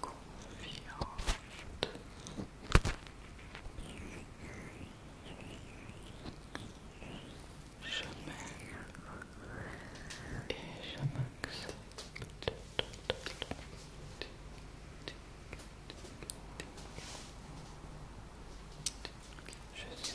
confiante. Je m'aime et je Je suis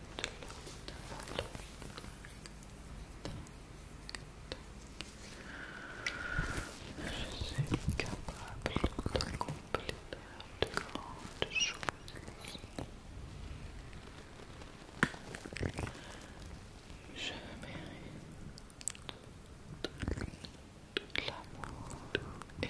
Je suis capable de compléter de grandes choses. Je mérite l'amour et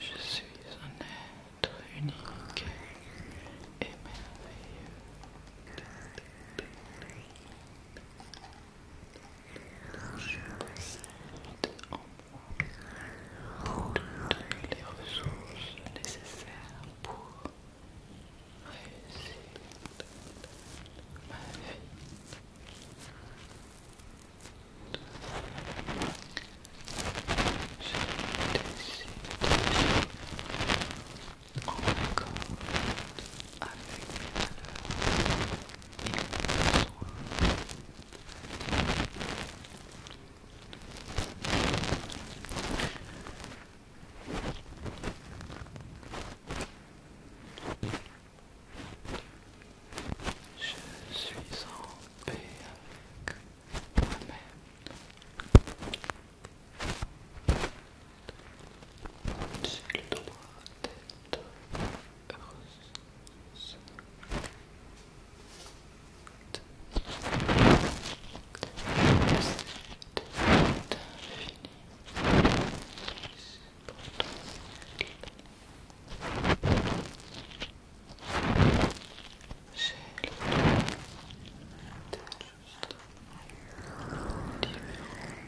Je suis un être unique et merveilleux possède en moi toutes les ressources nécessaires pour réussir ma vie. Je décide en accord avec mes valeurs je suis en paix avec moi-même. J'ai le droit d'être heureuse. J'ai le droit d'être différente de toute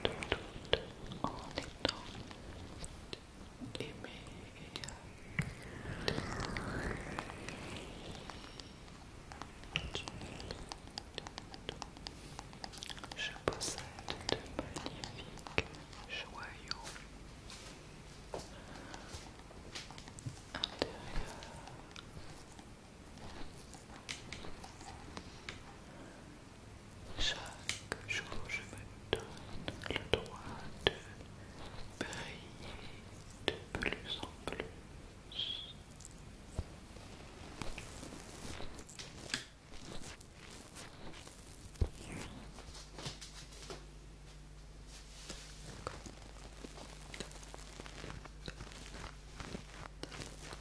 en donc, aimer et je possède de magnifiques joyaux intérieurs. Chaque jour, je me donne le droit de briller de plus en plus.